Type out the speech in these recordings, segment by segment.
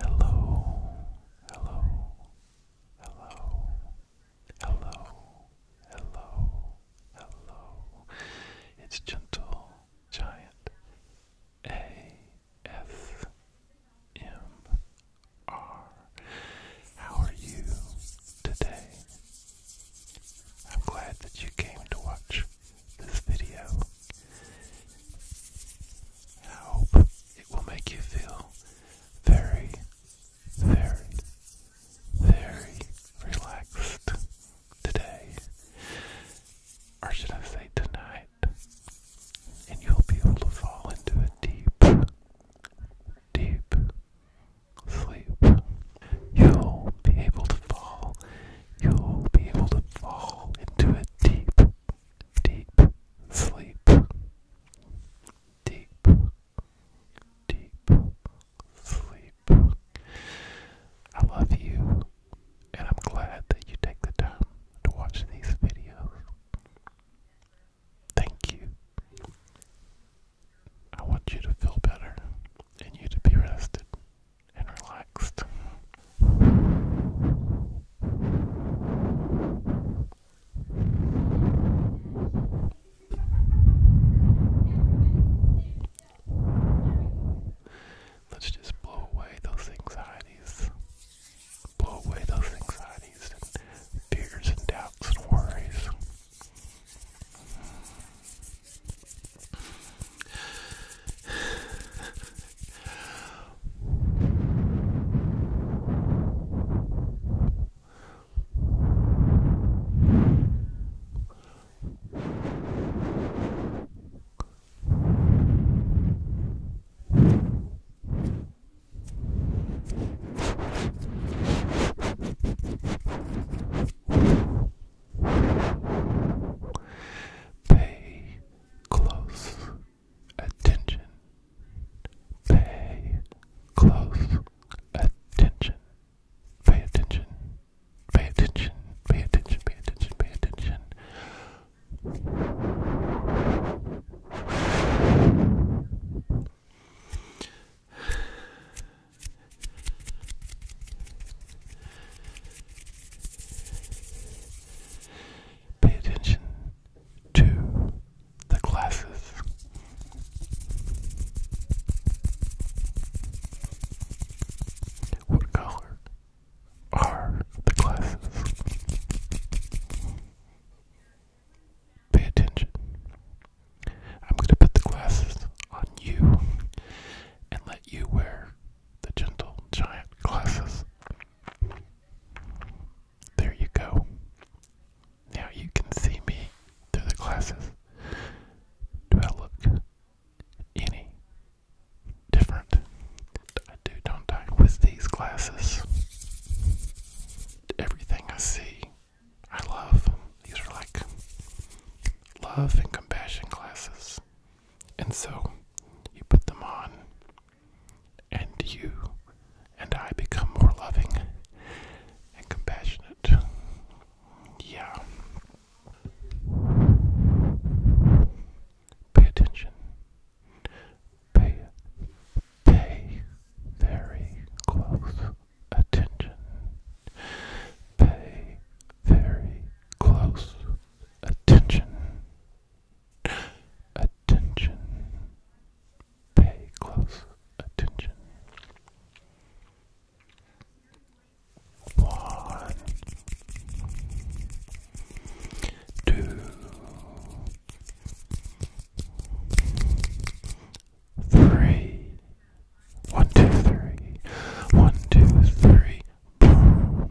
Hello, hello, hello, hello, hello, hello. It's Gentle Giant ASMR. How are you today? I'm glad that you came to watch this video. I hope it will make you feel very, very, very relaxed today. Or should I say tonight? And you'll be able to fall into a deep, deep sleep. You'll be able to fall. You'll be able to fall into a deep, deep sleep, deep, deep sleep. I love you, and I'm glad that you take the time to watch these videos. Thank you. I want you to feel better and you to be rested and relaxed. Let's just blow away those anxieties. Blow away those anxieties and fears and doubts and worries. Pay close attention. Pay close attention. Pay attention. Pay attention. Pay attention. Pay attention. Pay attention. Pay attention to the classes. What color are the classes? Pay attention. I'm going to put the glasses on you and let you wear the gentle giant glasses. There you go. Now you can see me through the glasses. Do I look any different? I do, don't I? With these glasses, everything I see, I love. These are like love and compassion glasses. And so you put them on, and you and I become more loving and compassionate. Yeah. Pay attention. Pay pay very close attention. Pay very close attention attention. Pay close attention. One, two, three. One, two, three. One, two, three. Boom.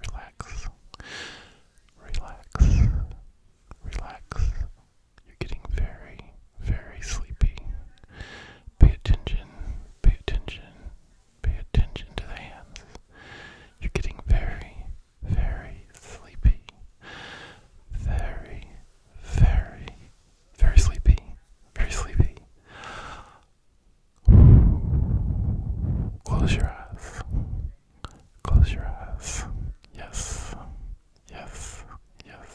Relax. Relax. Relax. You're getting very, very sleepy. Pay attention. Pay attention. Pay attention to the hands. You're getting very, very sleepy. Very, very, very sleepy, very sleepy. Close your eyes. Close your eyes. Yes. Yes. Yes.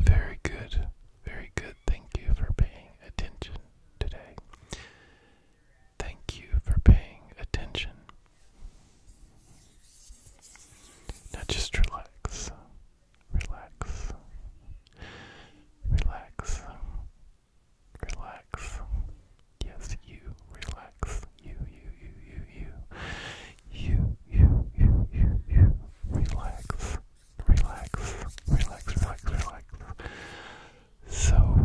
Very good, very good. Thank you for paying attention today. Thank you for paying attention. Now just relax relax, relax, relax. Yes, you relax. You, you, you, you, you, you, you, you, you, you. Relax, relax, relax, relax, relax. So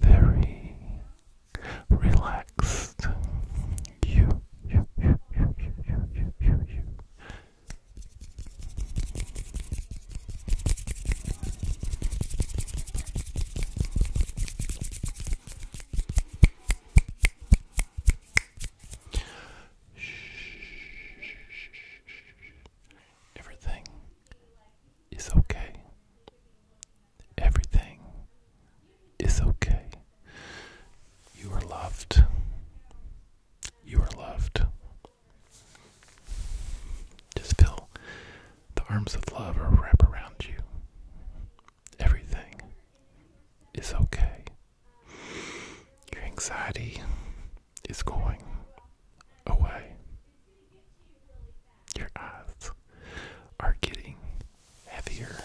very relaxed. You, you, you, you, you, you, you, you, you. Everything is okay. Everything is okay. You are loved. You are loved. Just feel the arms of love wrap around you. Everything is okay. Your anxiety is going away. Your eyes are getting heavier.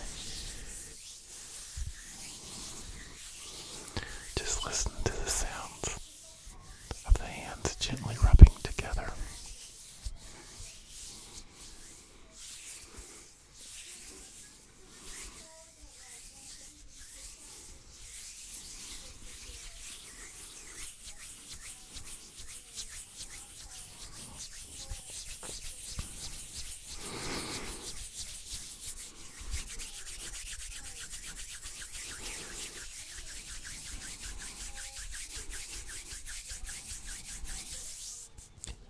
Just listen to the sounds of the hands gently rubbing together.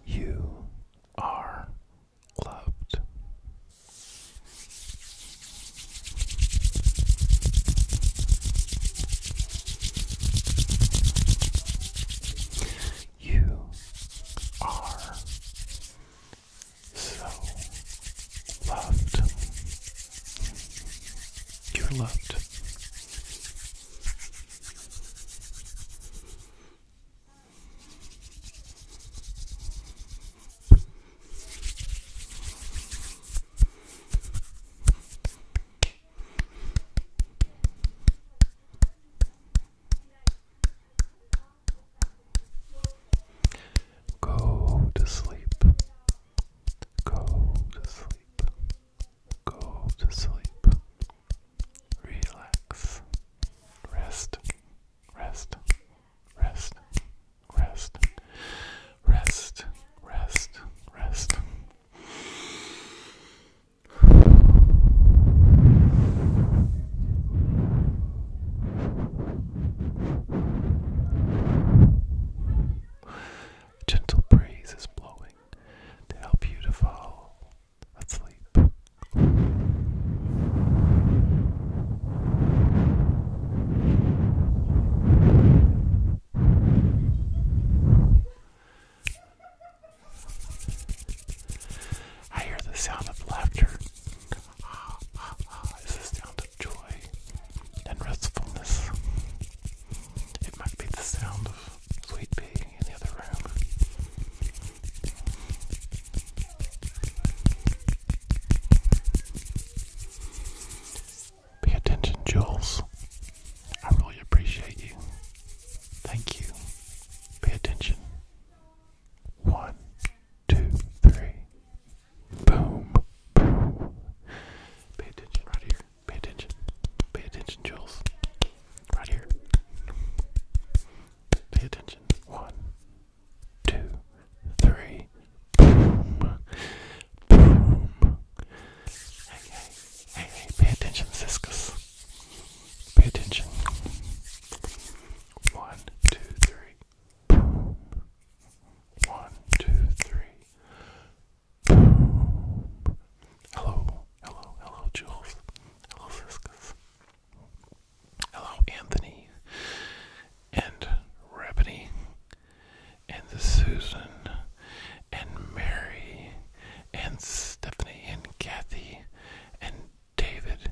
You are loved. You are so loved. You're loved. Go to sleep. Go to sleep. Go to sleep. Relax. Rest. Rest. Rest. Rest. Rest. Rest. Rest. A gentle breeze is blowing to help you to fall asleep. I hear the sound of laughter is this sound of joy and restfulness? It might be the sound of Sweet Pea in the other room. Pay attention, Jules. I really appreciate you. Thank you. Pay attention. One two, three. Boom. Boom. Pay attention right here. Pay attention. Pay attention, Jules. Right here. Pay attention. One, two, three. Boom. Boom. Hey, hey, hey, hey, pay attention, Siskus. Pay attention. One, two, three. One, two, three. Hello, hello, hello, Jules. Hello, Siskus. Hello, Anthony. And Rebony. And Susan. And Mary. And Stephanie. And Kathy. And David.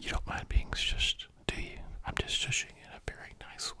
You don't mind being shushed, do you? I'm just shushing in a very nice way.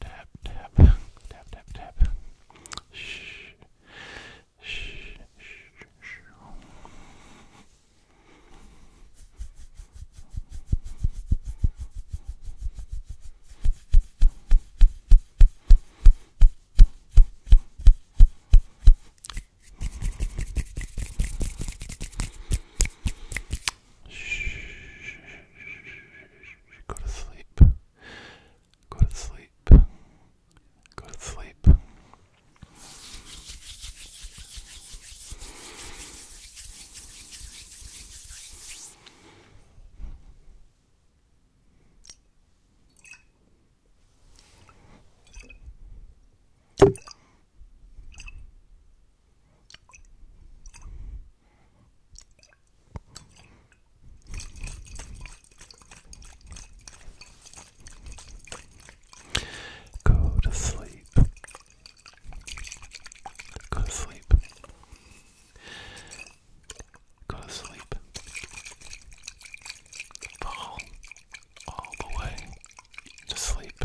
tap, tap, tap, tap, tap. Shh. Shh. Shh. Shh. Shh. Go to sleep. Go to sleep. Go to sleep. Go to sleep. Go to sleep. Go to sleep. Fall all the way to sleep.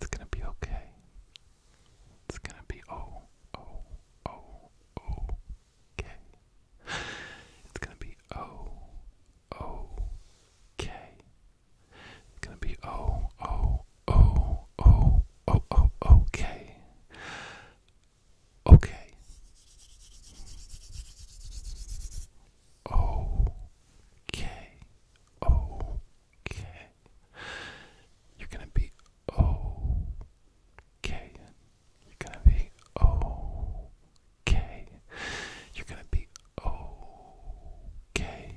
It's gonna be okay. It's gonna be oh, oh, oh, oh, okay. It's gonna be oh, oh, okay. It's gonna be oh, oh, Oh, oh, oh, oh, okay. Okay. Okay. Oh, okay. You're going to be okay. You're going to be okay. You're going to be okay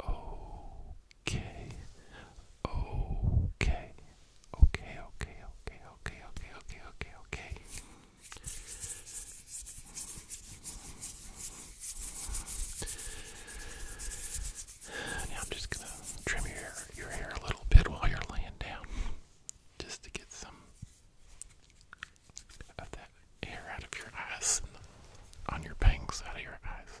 okay, okay, okay, okay, okay, okay, okay, okay, okay, okay. I'm just gonna trim your hair, your hair a little bit while you're laying down, just to get some of that hair out of your eyes, on your bangs out of your eyes.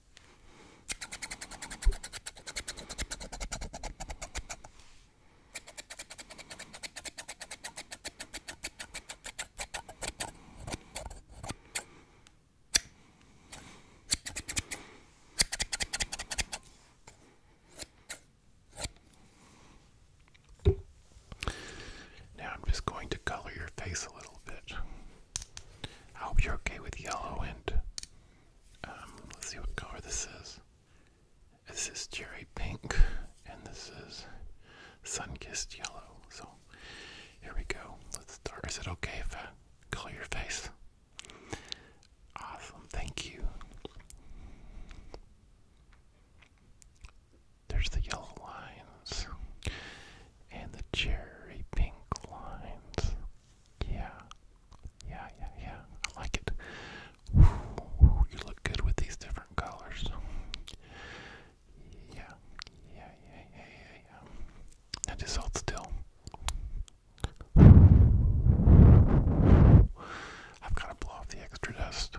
Now I'm just going to color your face a little bit. I hope you're okay with yellow and um, let's see what color this is. This is cherry pink and this is sun-kissed yellow. So here we go. Let's start. Is it okay if I color your face? Awesome. Thank you. There's the yellow lines and the cherry pink lines. Yeah, yeah, yeah, yeah. I like it. Ooh, you look good with these different colors. Yeah, yeah, yeah, yeah, yeah, yeah. Now just hold still. I've got to blow off the extra dust.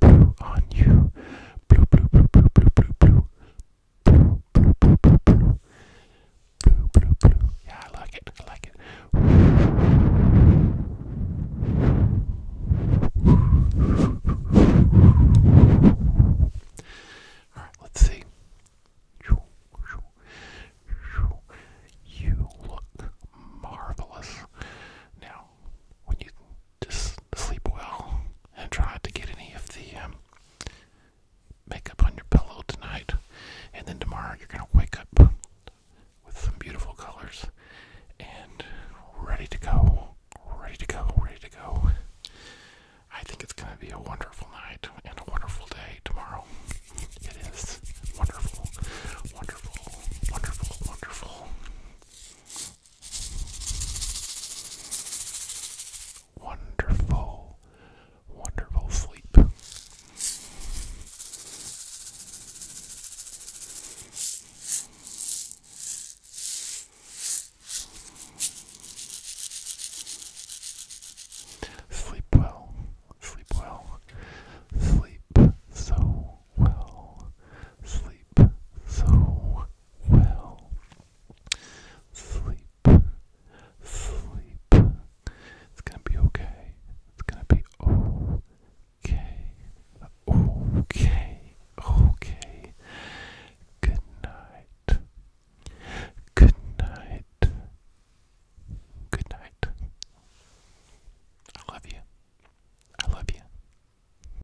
blue on you. Blue, blue, blue, blue, blue, blue, blue. Blue, blue, blue, blue, blue. Yeah, I like it. I like it. Alright, let's see. You look marvelous. Now, when you just sleep well and try to get any of the um, makeup on your pillow tonight. And then tomorrow you're going to wake up with some beautiful colors and ready to go, ready to go, ready to go. I think it's going to be a wonderful night and a wonderful day tomorrow. It is wonderful, wonderful, wonderful, wonderful. Wonderful, wonderful sleep. Sleep well, sleep well, sleep so well, sleep so well. Sleep, sleep. It's gonna be okay. It's gonna be okay. Okay, okay. Good night. Good night. Good night. I love you. I love you.